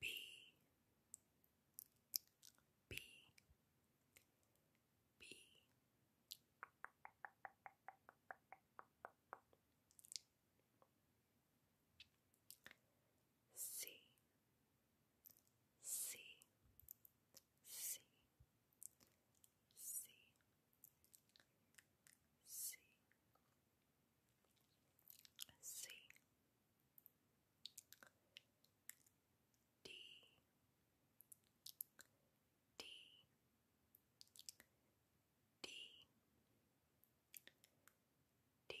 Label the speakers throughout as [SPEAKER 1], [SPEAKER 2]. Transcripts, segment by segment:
[SPEAKER 1] B B B C C C C C C D D D D E E E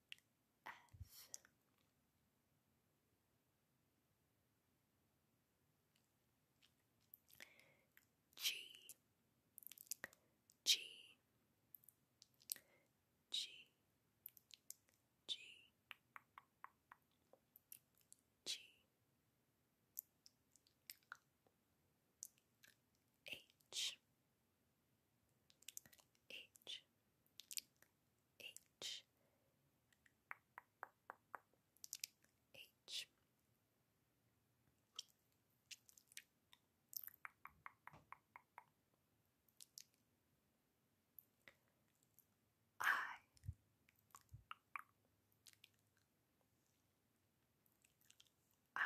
[SPEAKER 1] F G G G G G H H H H I I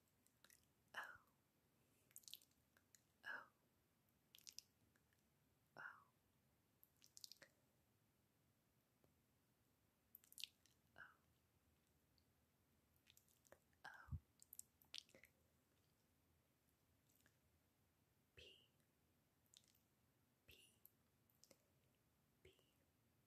[SPEAKER 1] O O O O O P P P P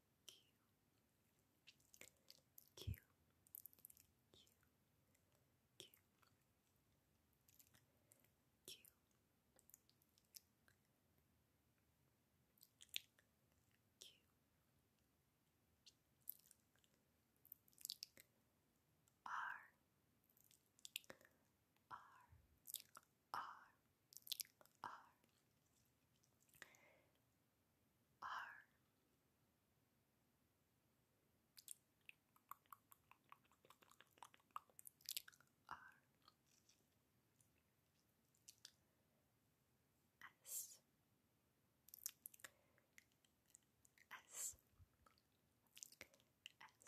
[SPEAKER 1] Q Q Q Q Q Q R R R R R R S S S S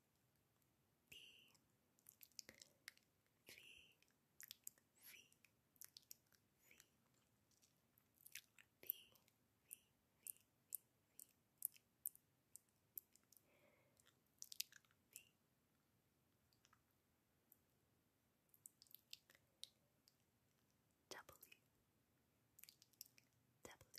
[SPEAKER 1] D V V V V V V V V W W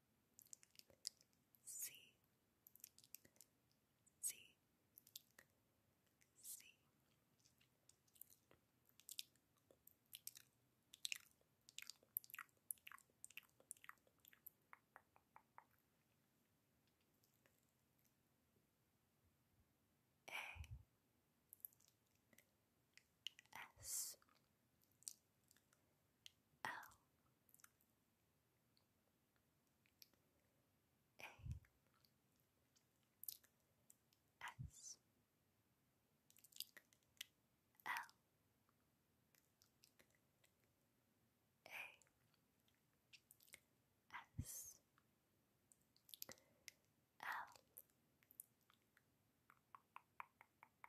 [SPEAKER 1] C C C A S L A S L A S L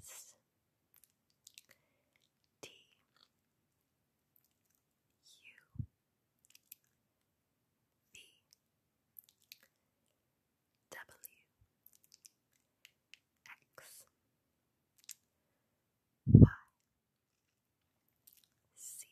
[SPEAKER 1] S T U V W X Y C